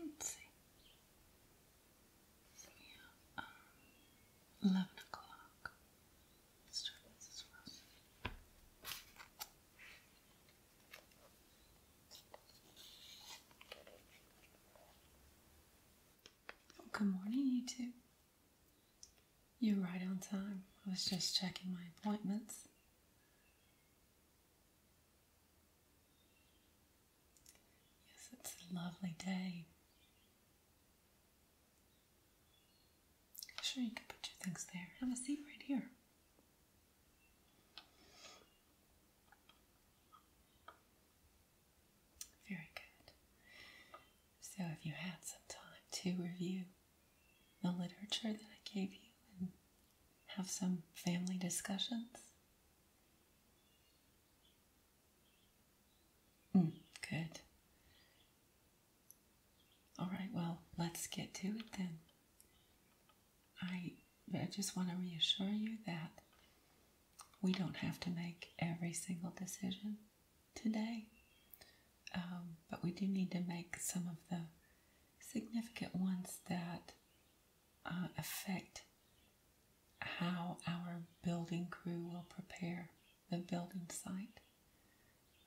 Let's see. So um, 11 o'clock. Let's try this as well. good morning, you two. You're right on time. I was just checking my appointments. Yes, it's a lovely day. Sure, you can put your things there. Have a seat right here. Very good. So, have you had some time to review the literature that I gave you and have some family discussions? Mm, good. All right, well, let's get to it then. I, I just want to reassure you that we don't have to make every single decision today. Um, but we do need to make some of the significant ones that uh, affect how our building crew will prepare the building site.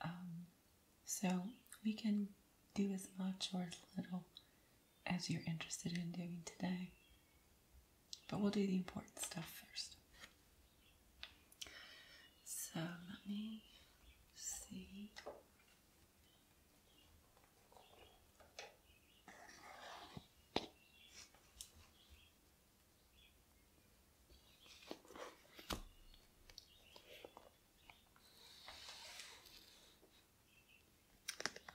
Um, so we can do as much or as little as you're interested in doing today. But we'll do the important stuff first. So let me see.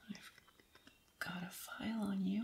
I've got a file on you.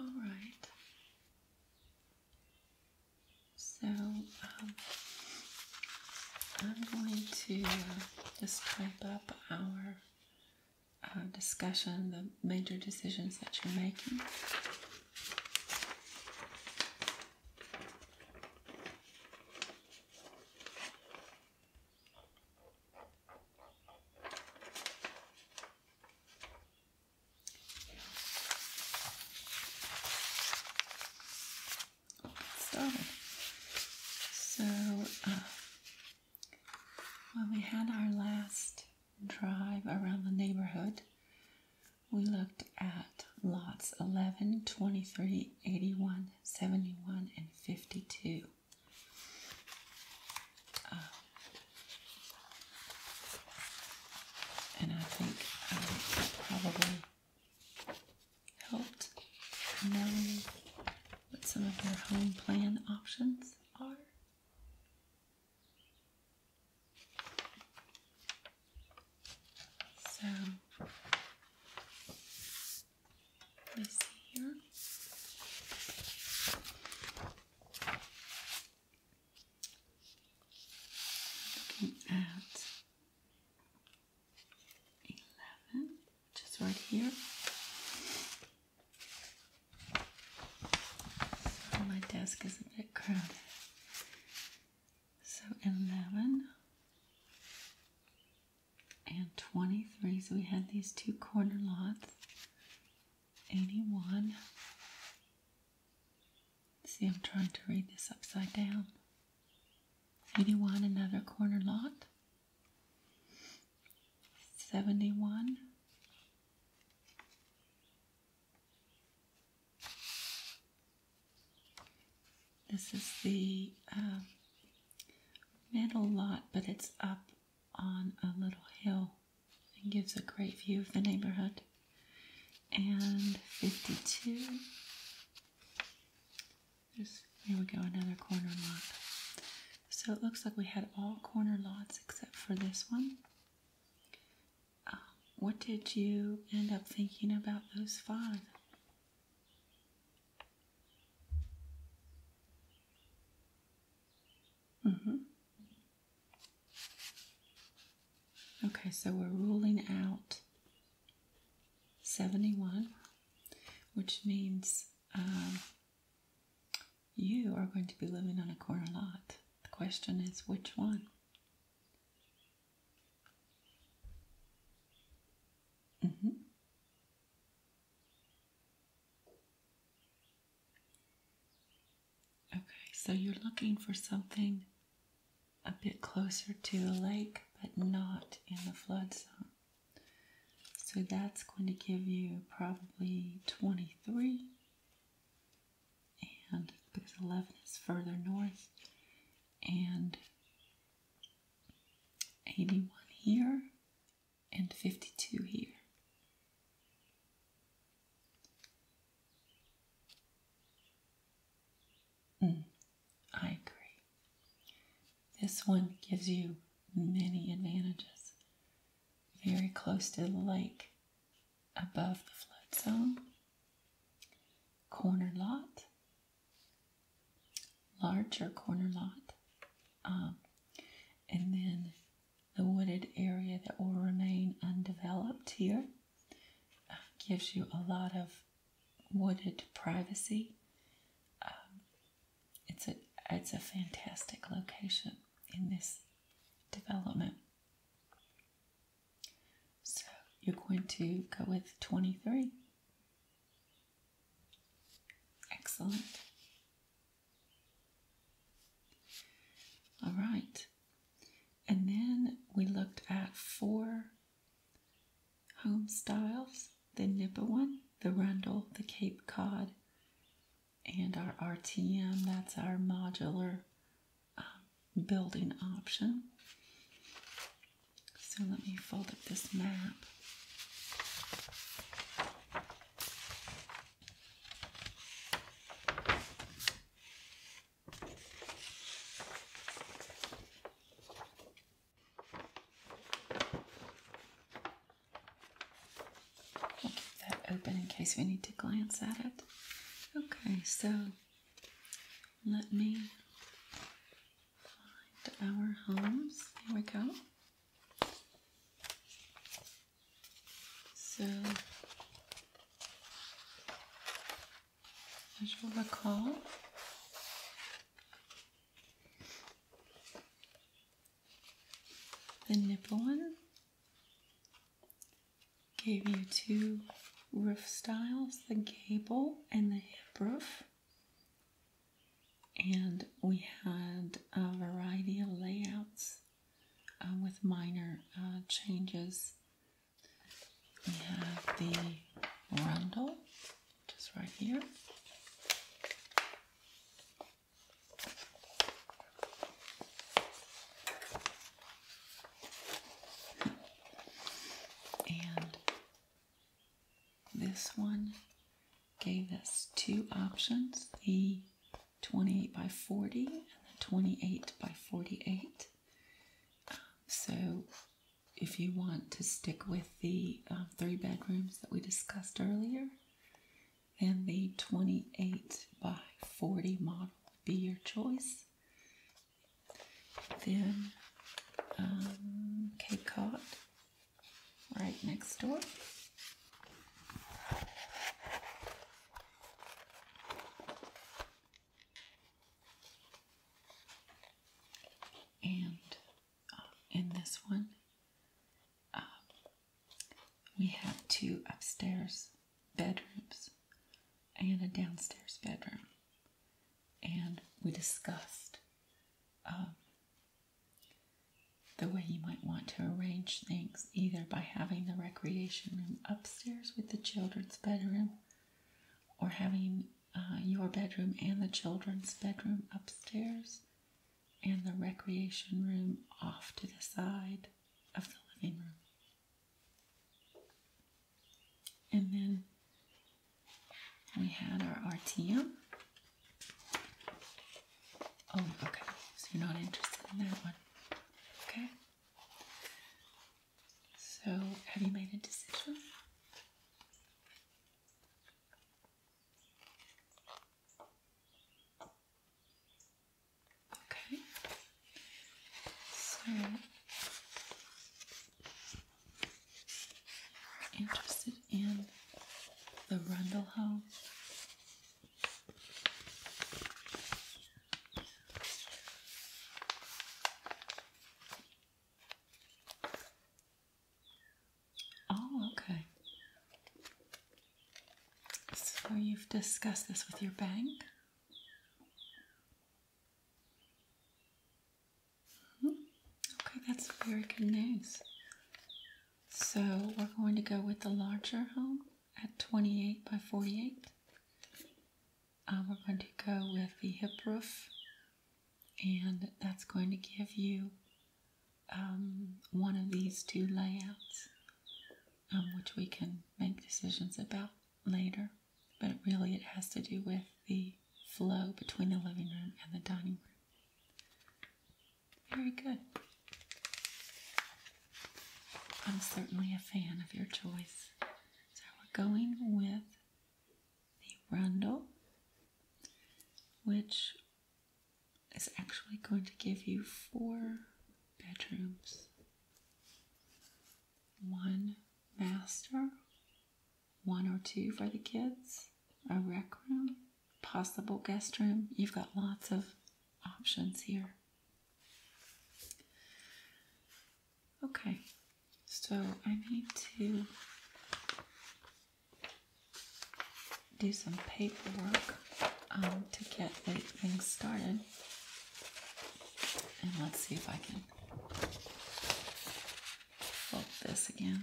All right. So um, I'm going to just type up our uh, discussion, the major decisions that you're making we So, uh, when we had our last drive around the neighborhood, we looked at lots 11, 23, 81, 71, and 52. Uh, and I think that probably helped know what some of your home plan options are. So let me see here. Looking at 11, which is right here. my desk is a bit crowded. So 11 and 23. So we had these two corner lots 81. See, I'm trying to read this upside down. 81, another corner lot. 71. This is the uh, middle lot, but it's up on a little hill and gives a great view of the neighborhood. And 52. There's, there we go, another corner lot. So it looks like we had all corner lots except for this one. Um, what did you end up thinking about those five? Mm-hmm. Okay, so we're ruling out 71, which means um, you are going to be living on a corner lot. The question is, which one? Mm-hmm. Okay, so you're looking for something a bit closer to the lake, but not in the flood zone. So that's going to give you probably 23. And because 11 is further north, and 81 here, and 52 here. Mm, I agree. This one gives you many advantages. Very close to the lake, above the flood zone, corner lot, larger corner lot, um, and then the wooded area that will remain undeveloped here. Um, gives you a lot of wooded privacy. Um, it's a it's a fantastic location in this development. So you're going to go with 23. Excellent. All right. And then we looked at four home styles the Nipawin, the Rundle, the Cape Cod, and our RTM. That's our modular um, building option. So let me fold up this map. I'll keep that open in case we need to glance at it. Okay, so let me find our homes. Here we go. So, as you recall, the nipple one gave you two roof styles the gable and the hip roof. And we had a variety of layouts um, with minor uh, changes. We have the rundle, just right here. And this one gave us two options the 28 by 40 and then 28 by 48. so if you want to stick with the um, three bedrooms that we discussed earlier, then the 28 by 40 model would be your choice. Then um, Cape Cod, right next door. And uh, in this one, uh, we have two upstairs bedrooms and a downstairs bedroom. And we discussed um, the way you might want to arrange things, either by having the recreation room upstairs with the children's bedroom or having uh, your bedroom and the children's bedroom upstairs and the recreation room off to the side of the living room. And then we had our RTM, Oh, okay. So you're not interested in that one. Okay. So have you made a decision? Okay. So interested in the Rundle House. Oh, okay. So you've discussed this with your bank? -hmm. Okay, that's very good news. So we're going to go with the larger home at 28 by 48. Um, we're going to go with the hip roof and that's going to give you um, one of these two layouts um, which we can make decisions about later but really it has to do with the flow between the living room and the dining room very good. I'm certainly a fan of your choice. So we're going with the Rundle, which is actually going to give you four bedrooms one master, one or two for the kids, a rec room, possible guest room. You've got lots of options here. Okay, so I need to do some paperwork um, to get things started. And let's see if I can fold this again.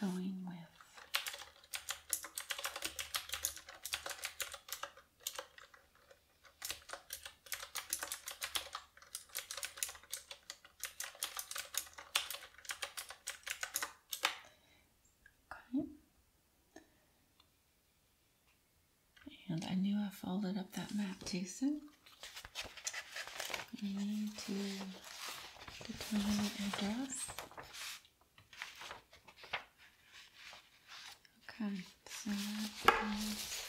Going with Okay. And I knew I folded up that map too soon. We need to determine the address. Okay, so that is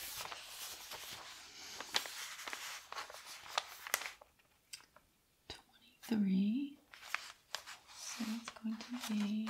twenty-three. So it's going to be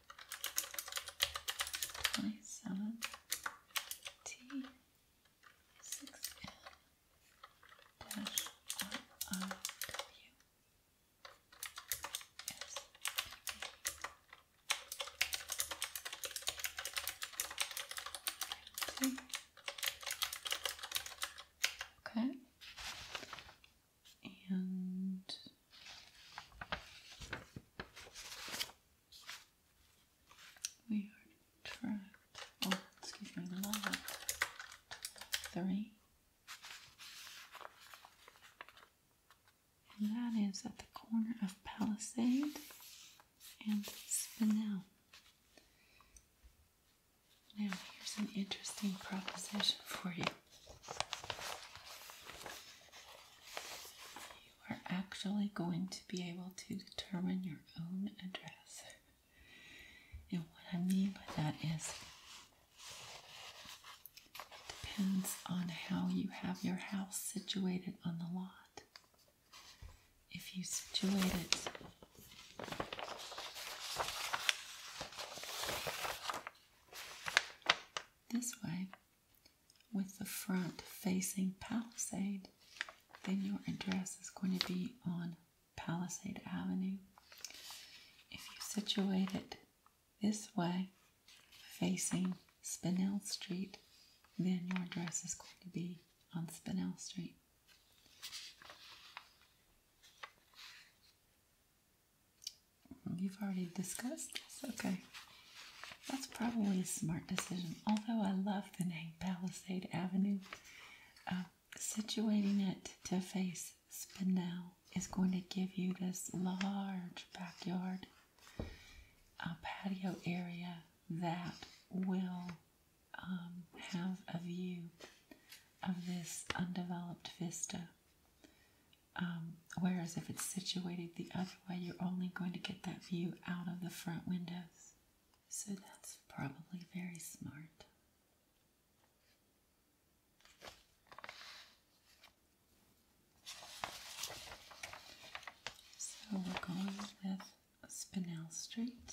27 T 6 N dash R I W S P B. Okay. And we are oh, three. that is at the corner of Palisade and Spinel. Now, here's an interesting proposition for you. You are actually going to be able to determine your own address. And what I mean by that is it depends on how you have your house situated on the lot. If you situate it this way, with the front facing Palisade, then your address is going to be on Palisade Avenue. If you situate it this way, facing Spinell Street, then your address is going to be on Spinell Street. You've already discussed this, okay. That's probably a smart decision. Although I love the name Palisade Avenue, uh, situating it to face Spinel is going to give you this large backyard uh, patio area that will um, have a view of this undeveloped vista. Um, whereas if it's situated the other way, you're only going to get that view out of the front windows. So that's probably very smart. So we're going with Spinell Street.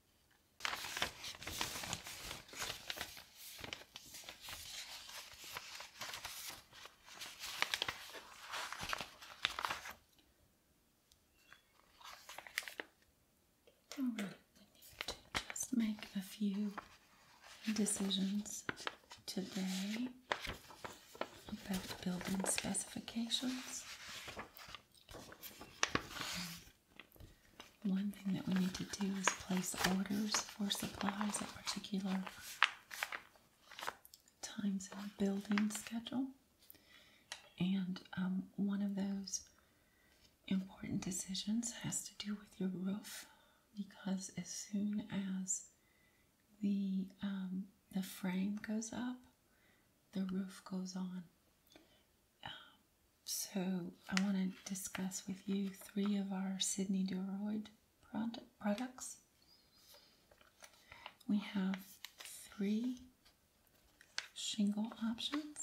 All right, we need to just make a few decisions today about building specifications one thing that we need to do is place orders for supplies at particular times in the building schedule. And um, one of those important decisions has to do with your roof because as soon as the um, the frame goes up, the roof goes on. Um, so I want to discuss with you three of our Sydney Duroid product products. We have three shingle options.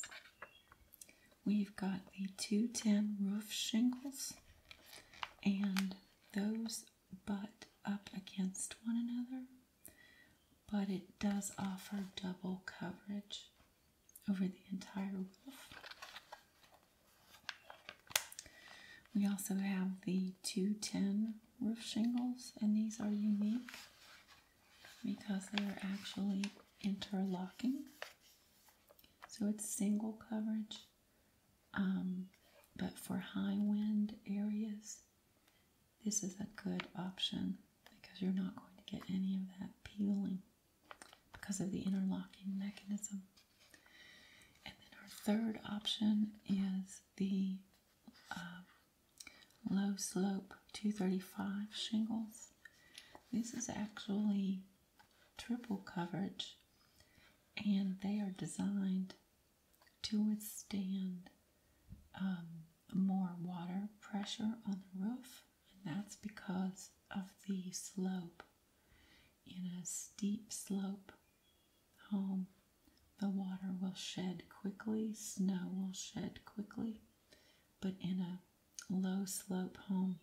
We've got the 210 roof shingles and those butt up against one another but it does offer double coverage over the entire roof. We also have the 210 roof shingles, and these are unique because they are actually interlocking. So it's single coverage, um, but for high wind areas, this is a good option because you're not going to get any of that peeling because of the interlocking mechanism. And then our third option is the uh, low slope 235 shingles. This is actually triple coverage and they are designed to withstand um, more water pressure on the roof, and that's because of the slope. In a steep slope home, the water will shed quickly, snow will shed quickly, but in a low slope home,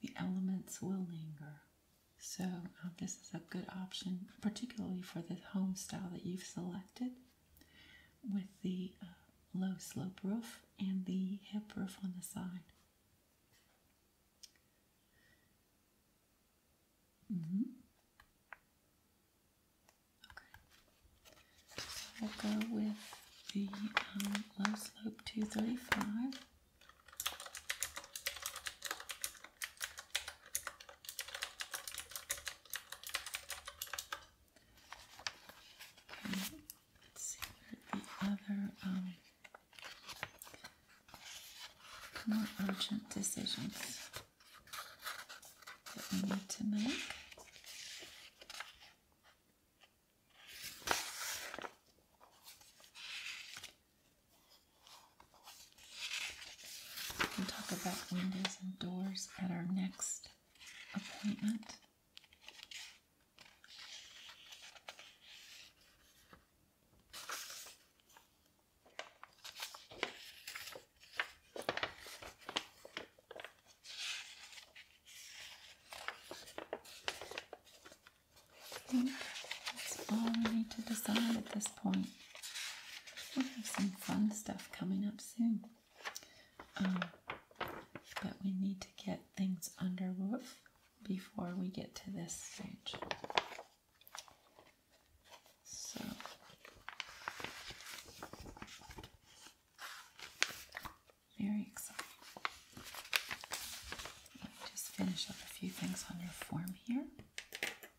the elements will linger. So, uh, this is a good option, particularly for the home style that you've selected with the uh, low slope roof and the hip roof on the side. Mm I'll go with the um, low slope 235 let's see the other um, more urgent decisions that we need to make. We'll talk about windows and doors at our next appointment. I think that's all to decide at this point. we have some fun stuff coming up soon. Um, but we need to get things under roof before we get to this stage. So very exciting. Let me just finish up a few things on your form here.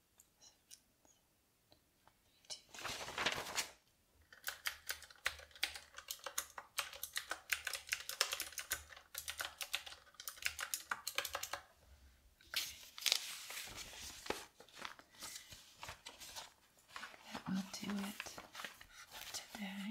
That will do it for today.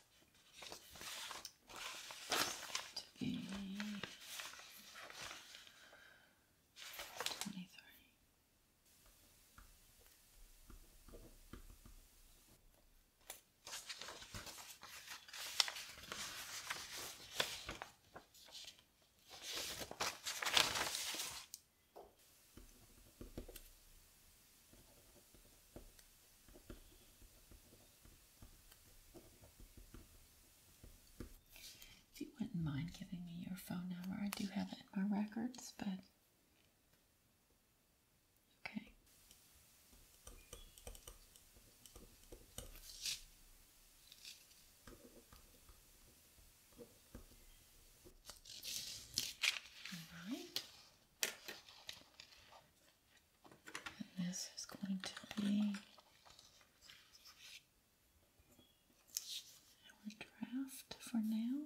to be 23. If you wouldn't mind giving me your phone number, I do have it in my records, but okay. All right. And this is going to be our draft for now.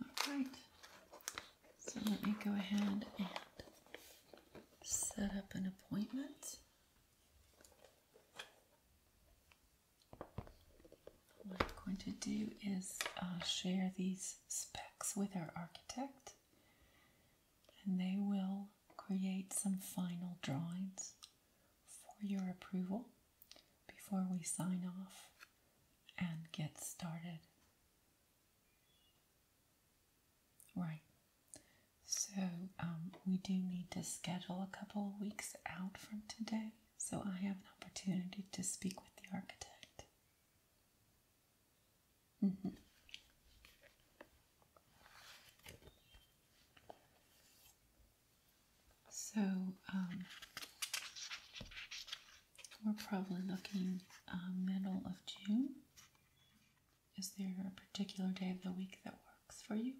All right. So let me go ahead and set up an appointment. What I'm going to do is uh, share these specs with our architect, and they will create some final drawings for your approval before we sign off and get started. Right, so um, we do need to schedule a couple weeks out from today so I have an opportunity to speak with the architect. Mm-hmm. So um, we're probably looking uh, middle of June. Is there a particular day of the week that works for you?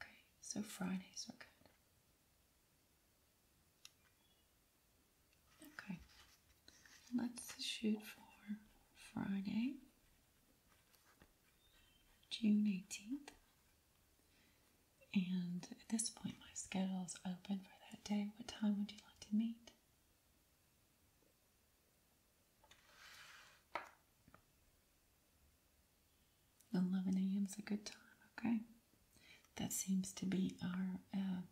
Okay, so Fridays are good. Okay, Let's shoot for Friday, June 18th. And at this point, my schedule is open for that day. What time would you like to meet? Eleven a.m. is a good time. Okay, that seems to be our uh,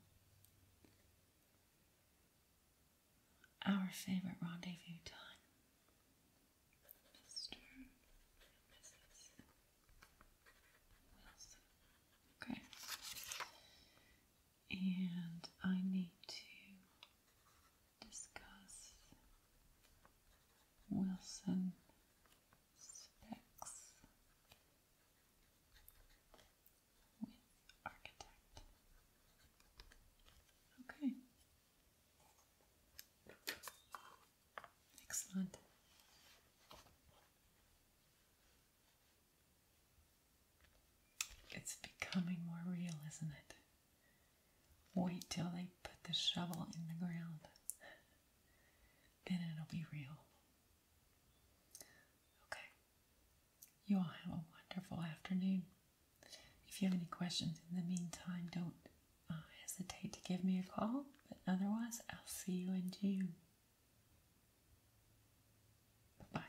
our favorite rendezvous time. Mr. Mrs. Wilson. Okay. And I need to discuss Wilson specs with architect. Okay. Excellent. It's becoming more real, isn't it? Wait till they put the shovel in the ground. Then it'll be real. Okay. You all have a wonderful afternoon. If you have any questions in the meantime, don't uh, hesitate to give me a call. But otherwise, I'll see you in June. bye.